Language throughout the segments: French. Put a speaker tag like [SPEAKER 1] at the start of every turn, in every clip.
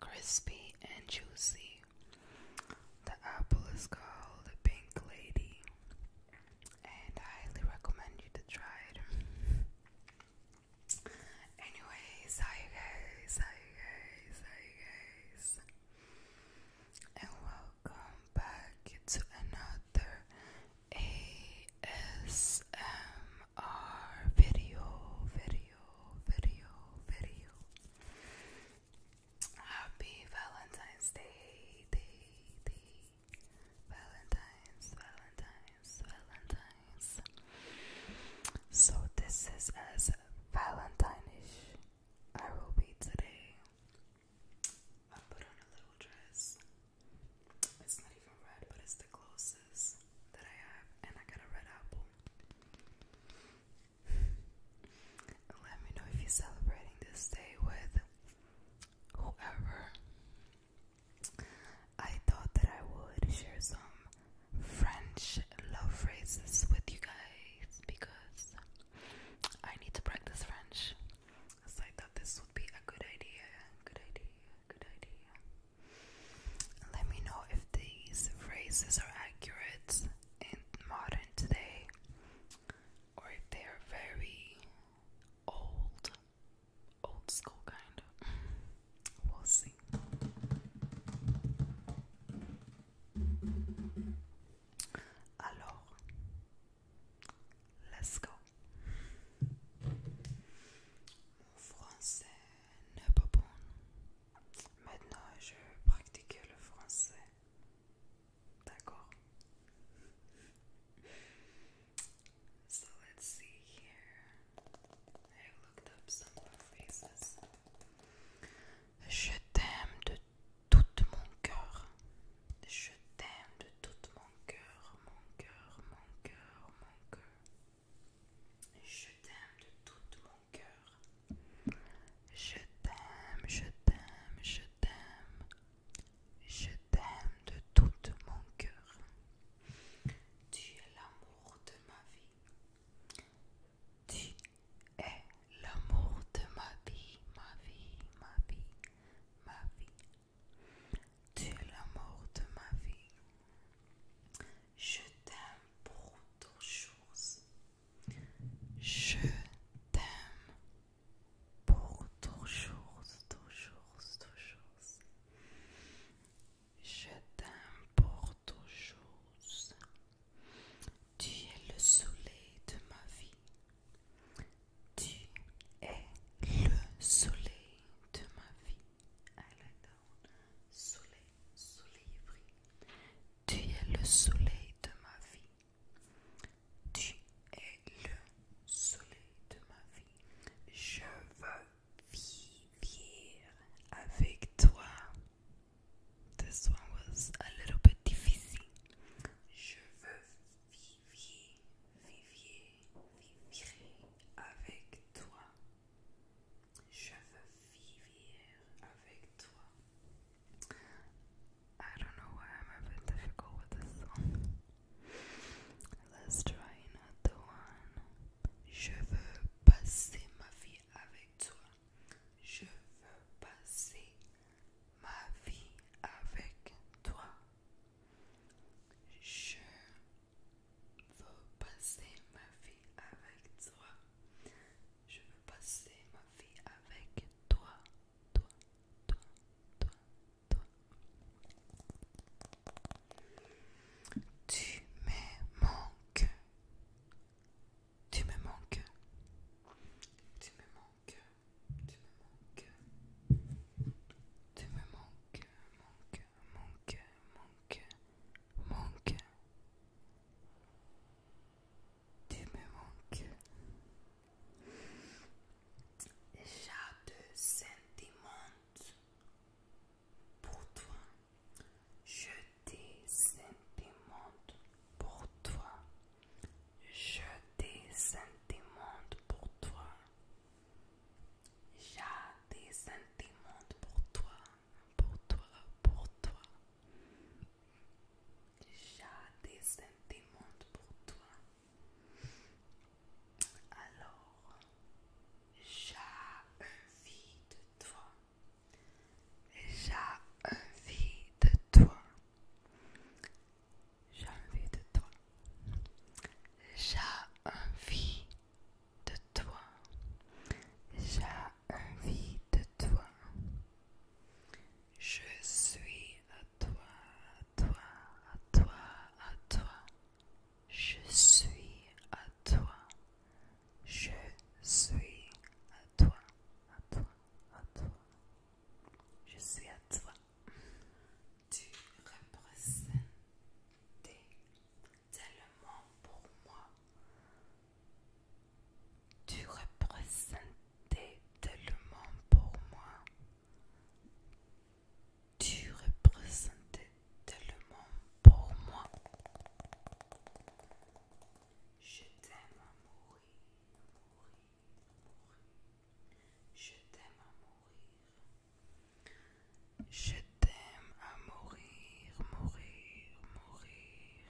[SPEAKER 1] crispy and juicy. The apple is called the Pink Lady, and I highly recommend you to try it. Anyways, hi guys, hi guys, hi guys, and welcome back to another ASMR our video, video, video, video. Happy Valentine's Day, day, day. Valentine's, Valentine's, Valentine's. So this is as Valentine-ish I will be today. I put on a little dress. It's not even red, but it's the closest that I have, and I got a red apple. Let me know if you're celebrating this day with whoever. I thought that I would share some French love phrases with you guys because I need to practice French. So I thought this would be a good idea. Good idea. Good idea. Let me know if these phrases are accurate in modern today or if they are very old, old school kind of. We'll see. Alors, let's go. français n'est pas bon. Maintenant, je pratique le français. D'accord. So let's see here. I looked up some faces. Je t'aime de tout mon cœur. Je t'aime de tout mon cœur, mon cœur, mon cœur, mon cœur. Je t'aime de tout mon cœur. Je t'aime, je t'aime, je t'aime. Je t'aime de tout mon cœur. Tu es l'amour de ma vie. Tu es l'amour de ma vie, ma vie, ma vie, ma vie. Tu es l'amour de ma vie. Je t'aime pour toujours. Je t'aime pour toujours, toujours, toujours. Je t'aime pour toujours. Tu es le soleil de ma vie. Tu es le soleil de ma vie soleil, soleil brille. Tu es le soleil de ma vie. Tu es le soleil de ma vie. Je veux vivre avec toi. This one was a little bit difficile. Je veux vivre, vivre, vivre avec toi. Je veux I don't know why I'm a bit with this song. Let's try another one. Je veux passer ma vie avec toi. Je veux passer ma vie avec toi. Je veux passer ma vie avec toi. Je veux passer ma vie avec toi, toi, toi, toi, toi. Tu me manques. Tu me manques. Tu me manques. Tu me manques. Tu me manques, manque, manque, manque. Tu me manques. J'ai de sentiments pour toi. Je des sentiments pour toi. Je des sentiments pour toi. J'ai des sentiments pour toi, pour toi, pour toi. J'ai des sentiments pour toi. Alors, j'ai envie de toi. J'ai envie de toi. J'ai envie de toi. J'ai envie de toi. J'ai envie de toi. Je suis à toi, à toi, à toi, à toi. Je suis à toi. Je suis à toi, à toi, à toi. Je suis à toi. Tu représentais tellement pour moi. Tu représentais tellement pour moi. Tu représentais tellement pour moi. Je t'aime à mourir, mourir. Je t'aime à mourir, je t'aime à mourir, mourir, mourir.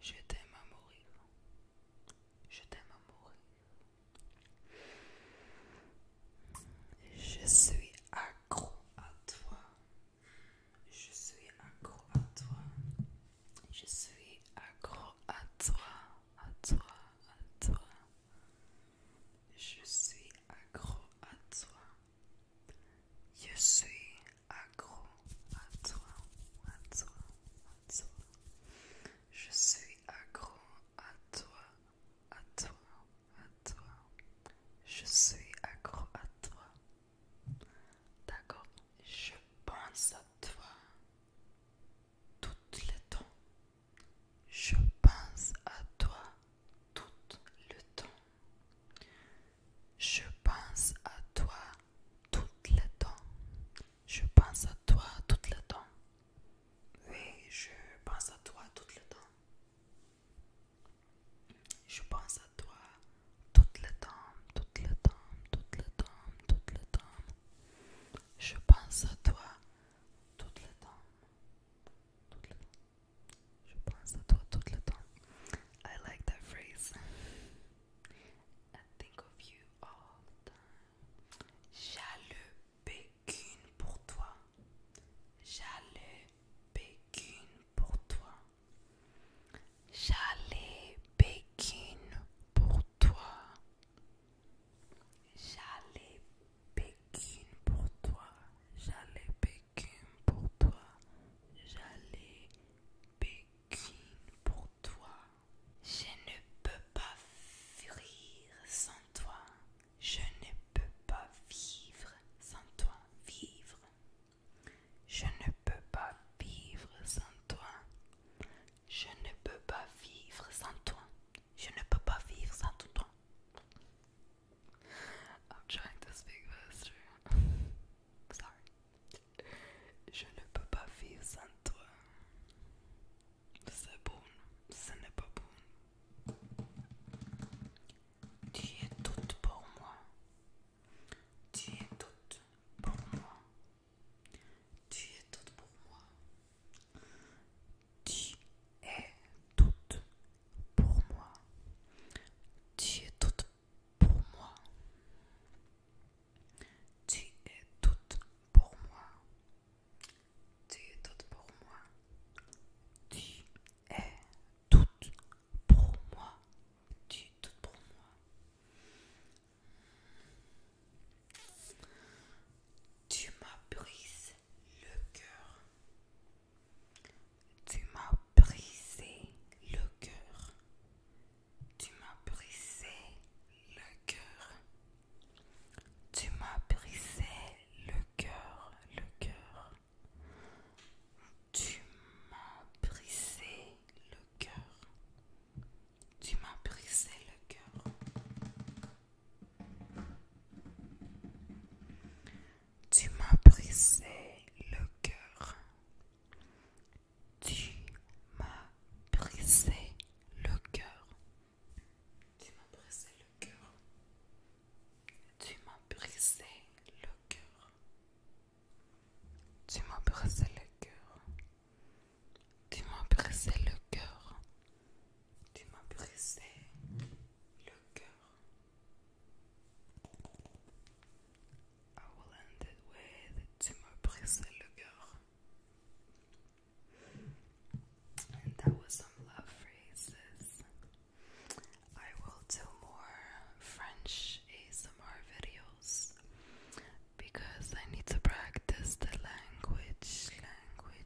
[SPEAKER 1] Je t'aime à mourir. Je t'aime à mourir. Je suis accro à toi. Je suis accro à toi. Je suis accro à toi, à toi, à toi. Je suis accro à toi. Je suis accro à toi, à toi, à toi. Je suis accro à toi, à toi, à toi. Je suis accro à toi. D'accord Je pense à toi tout le temps. Je pense à toi tout le temps. Je pense à toi tout le temps. Je pense à toi tout le temps. Oui, je pense à toi tout le temps. Je pense à toi tout le temps, tout le temps, tout le temps, tout le temps. Je pense à toi tout le temps. I like that phrase. I think of you all the time. pour toi. J'allais bécune pour toi. J'allais bécune pour toi. J'allais Pékin pour toi, j'allais Pékin pour toi, j'allais Pékin pour toi. Je ne peux pas fuir sans toi, je ne peux pas vivre sans toi, vivre. Je ne peux pas vivre sans toi. Je ne peux pas vivre sans toi. Je ne peux pas vivre sans toi, I'm trying to speak Sorry. Je ne peux pas vivre sans toi. C'est bon, ce n'est pas bon. Tu es toute pour moi. Tu es tout pour moi. Tu es toute pour moi. Tu es toute pour moi. Tu es toute pour moi. Tu es toute pour moi. Tu es toute pour moi. Tu es toute pour moi. Tu es toute pour moi. Tu m'as brisé le cœur. Tu m'as brisé le cœur. Tu m'as brisé le cœur. Tu m'as brisé le cœur, le cœur. Tu m'as brisé le cœur. Tu m'as brisé le cœur. Tu m'as brisé le cœur. Tu m'as brisé le cœur. Tu m'as brisé le cœur. Tu m'as brisé le cœur. Tu m'as brisé le cœur. Tu m'as brisé le cœur. Tu m'as brisé le cœur. I will end it with Tu m'as brisé le cœur. And that was some love phrases. I will do more French ASMR videos because I need to practice the language, language.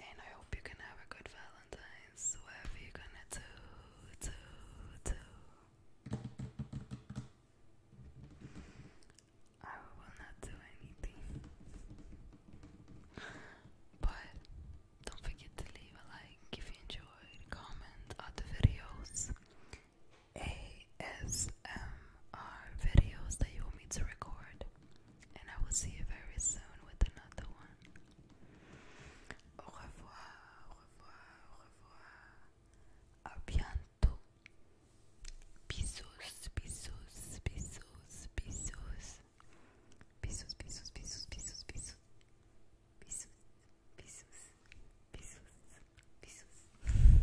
[SPEAKER 1] And I hope you can have a good Valentine's, whatever you're gonna do, do, do. I will not do anything. But don't forget to leave a like if you enjoyed, comment other videos, ASMR videos that you want me to record, and I will see you very soon with another one. Au revoir, au revoir, au revoir. A bientôt. Bisous, bisous, bisous, bisous. Bisous, bisous, bisous, bisous, bisous. Bisous, bisous, bisous, bisous.